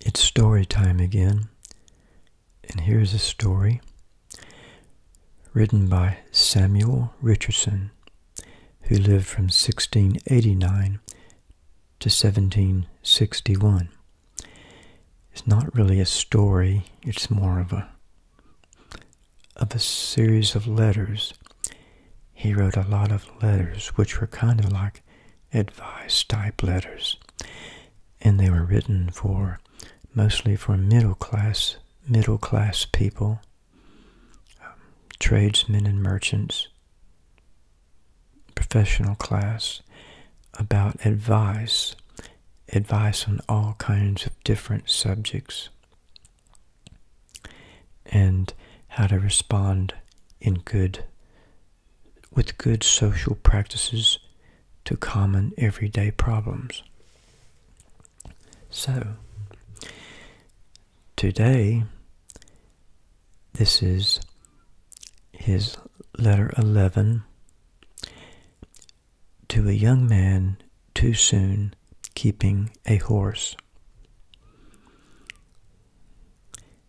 It's story time again, and here's a story written by Samuel Richardson, who lived from 1689 to 1761. It's not really a story, it's more of a of a series of letters he wrote a lot of letters, which were kind of like advice type letters, and they were written for mostly for middle class middle class people, um, tradesmen and merchants, professional class, about advice, advice on all kinds of different subjects and how to respond in good with good social practices to common everyday problems. So, today, this is his letter 11 to a young man too soon keeping a horse.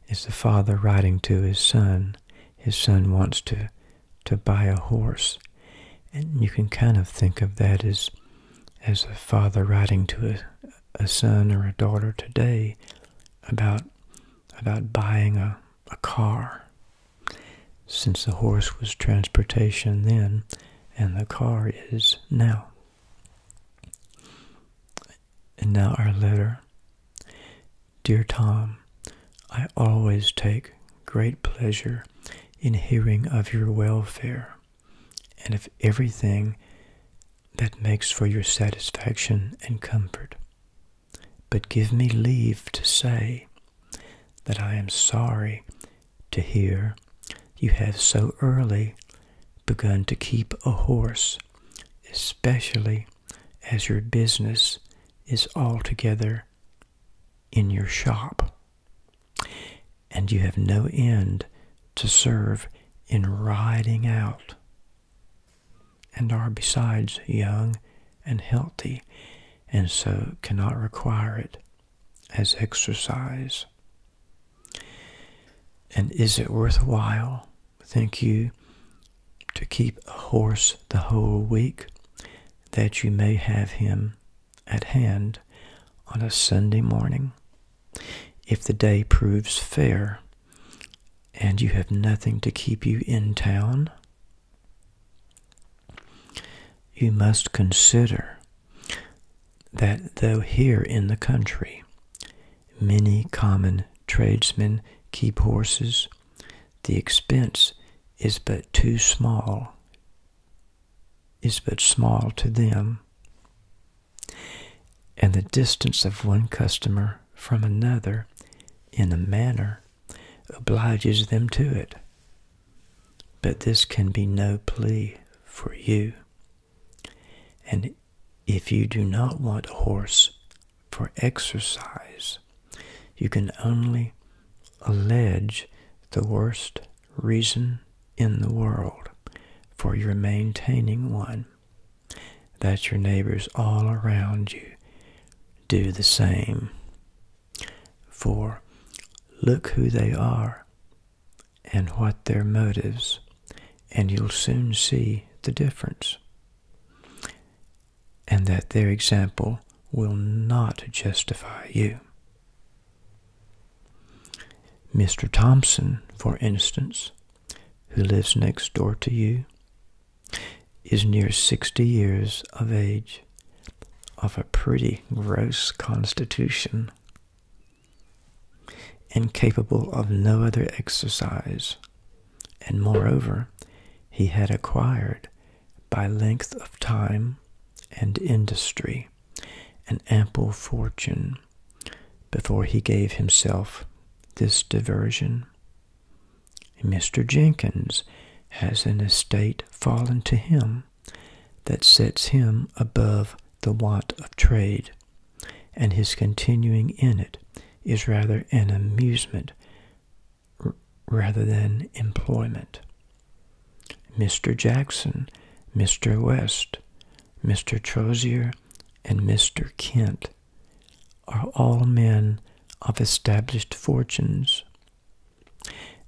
Is the father writing to his son. His son wants to, to buy a horse. And you can kind of think of that as, as a father writing to a, a son or a daughter today about, about buying a, a car. Since the horse was transportation then, and the car is now. And now our letter. Dear Tom, I always take great pleasure in hearing of your welfare and of everything that makes for your satisfaction and comfort. But give me leave to say that I am sorry to hear you have so early begun to keep a horse, especially as your business is altogether in your shop, and you have no end to serve in riding out, and are besides young and healthy, and so cannot require it as exercise? And is it worth while, think you, to keep a horse the whole week, that you may have him at hand on a Sunday morning, if the day proves fair, and you have nothing to keep you in town? You must consider that though here in the country many common tradesmen keep horses, the expense is but too small, is but small to them, and the distance of one customer from another in a manner obliges them to it. But this can be no plea for you. And if you do not want a horse for exercise, you can only allege the worst reason in the world for your maintaining one, that your neighbors all around you do the same. For look who they are and what their motives, and you'll soon see the difference. And that their example will not justify you. Mr. Thompson, for instance, who lives next door to you, is near 60 years of age of a pretty gross constitution, incapable of no other exercise, and moreover, he had acquired, by length of time and industry, an ample fortune before he gave himself this diversion. Mr. Jenkins has an estate fallen to him that sets him above the want of trade, and his continuing in it is rather an amusement rather than employment. Mr. Jackson, Mr. West, Mr. Trozier, and Mr. Kent are all men of established fortunes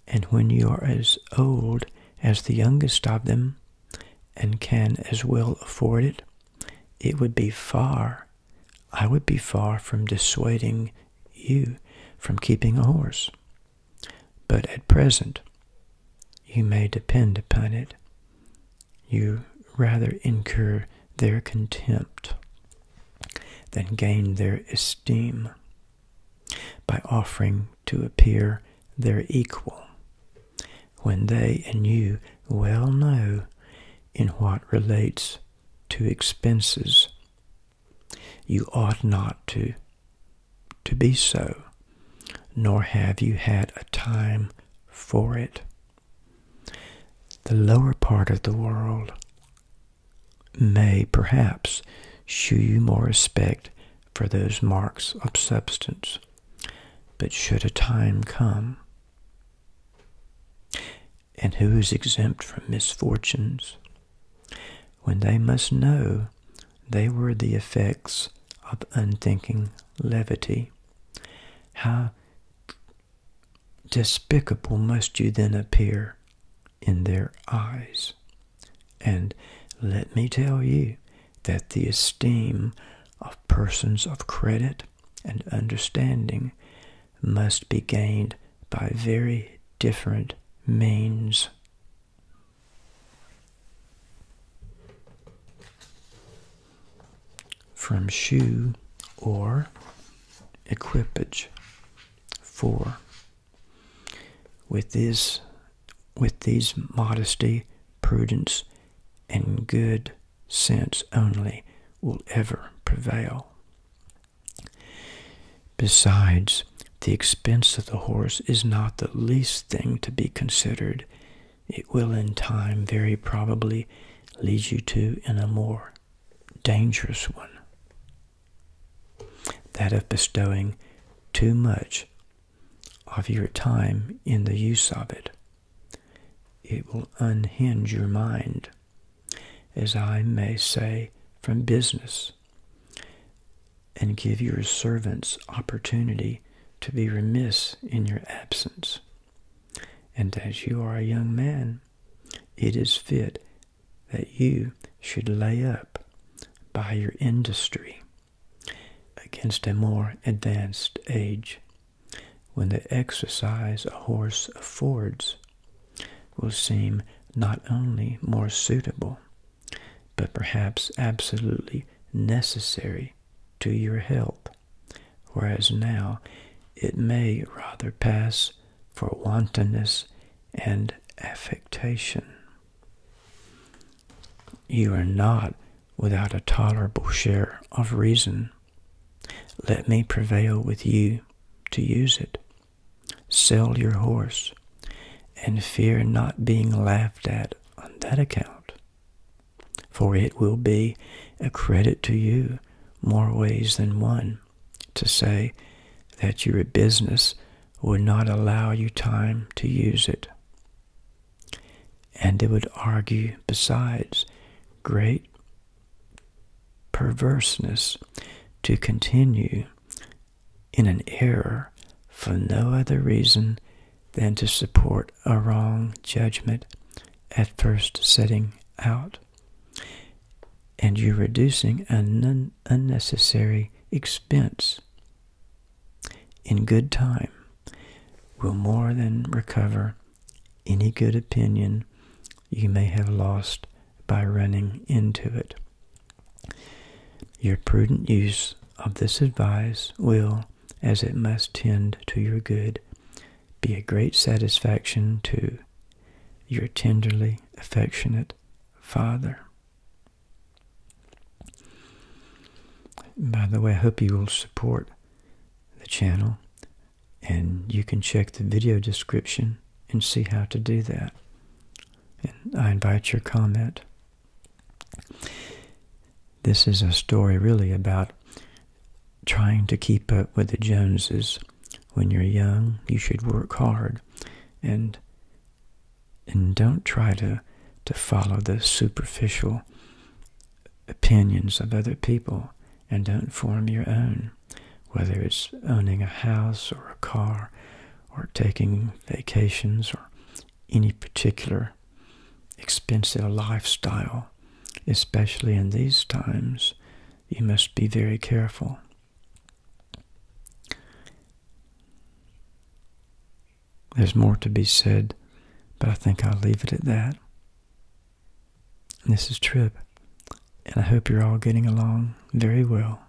and when you are as old as the youngest of them, and can as well afford it, it would be far, I would be far from dissuading you from keeping a horse. But at present, you may depend upon it, you rather incur their contempt then gain their esteem by offering to appear their equal, when they and you well know in what relates to expenses. You ought not to, to be so, nor have you had a time for it. The lower part of the world may perhaps shew you more respect for those marks of substance. But should a time come, and who is exempt from misfortunes, when they must know they were the effects of unthinking levity, how despicable must you then appear in their eyes. And let me tell you that the esteem of persons of credit and understanding must be gained by very different means from shoe or equipage. for With this with these modesty, prudence, and good sense only will ever prevail. Besides, the expense of the horse is not the least thing to be considered. It will in time very probably lead you to, an a dangerous one that of bestowing too much of your time in the use of it. It will unhinge your mind, as I may say, from business, and give your servants opportunity to be remiss in your absence. And as you are a young man, it is fit that you should lay up by your industry against a more advanced age, when the exercise a horse affords will seem not only more suitable, but perhaps absolutely necessary to your health whereas now it may rather pass for wantonness and affectation. You are not without a tolerable share of reason. Let me prevail with you to use it. Sell your horse, and fear not being laughed at on that account for it will be a credit to you more ways than one to say that your business would not allow you time to use it. And it would argue, besides, great perverseness to continue in an error for no other reason than to support a wrong judgment at first setting out, and you reducing an unnecessary expense in good time will more than recover any good opinion you may have lost by running into it. Your prudent use of this advice will, as it must tend to your good, be a great satisfaction to your tenderly affectionate Father. By the way, I hope you will support the channel, and you can check the video description and see how to do that. And I invite your comment. This is a story really about trying to keep up with the Joneses. When you're young, you should work hard and and don't try to to follow the superficial opinions of other people and don't form your own, whether it's owning a house or a car or taking vacations or any particular expensive lifestyle, especially in these times, you must be very careful. There's more to be said, but I think I'll leave it at that. this is Trib, and I hope you're all getting along very well.